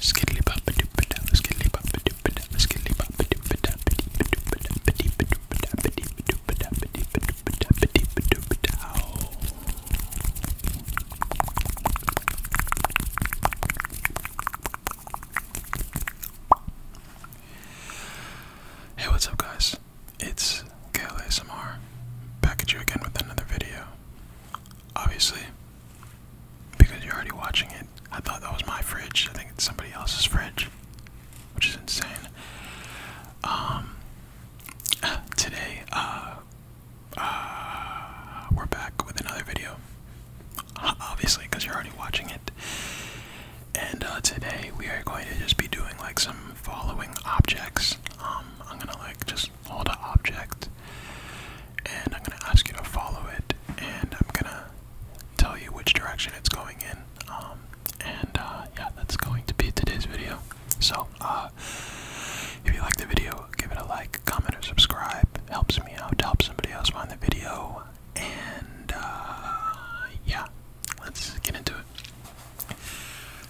Skiddly papa skiddly papa skiddly papa Hey, what's up, guys? It's Kale back at you again with another video. Obviously, because you're already watching it. I thought that was my fridge. I think it's somebody else's fridge, which is insane. Um, today, uh, uh, we're back with another video. Obviously, because you're already watching it. And uh, today we are going to just be doing like some following objects. Um, I'm gonna like just hold an object, and I'm going to ask you to follow it, and I'm going to tell you which direction it's going in. Um, and uh, yeah, that's going to be today's video. So, uh, if you like the video, give it a like, comment, or subscribe. helps me out to help somebody else find the video. And uh, yeah, let's get into it.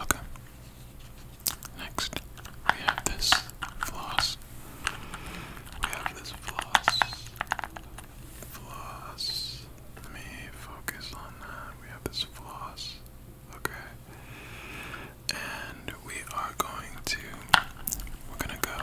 Okay. Next, we have this floss. We have this floss. Floss. Let me focus on that. We have this floss. Okay. And we are going to. We're gonna go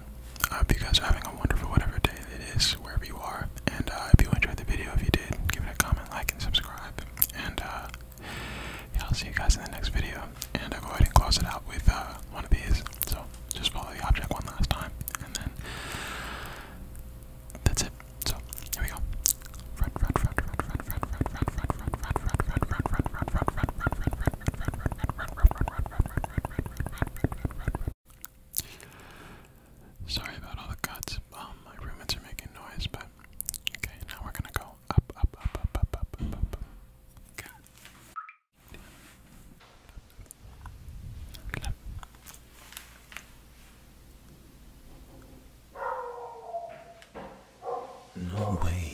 I hope you guys are having a wonderful whatever day it is, wherever you are. And I hope you enjoyed the video, if you did, give it a comment, like, and subscribe. And I'll see you guys in the next video. And I'll go ahead and close it out with one of these. So just follow the object one last time, and then that's it. So here we go. Sorry about all the cuts. Um, my roommates are making noise, but okay. Now we're gonna go up, up, up, up, up, up, up, up. No way.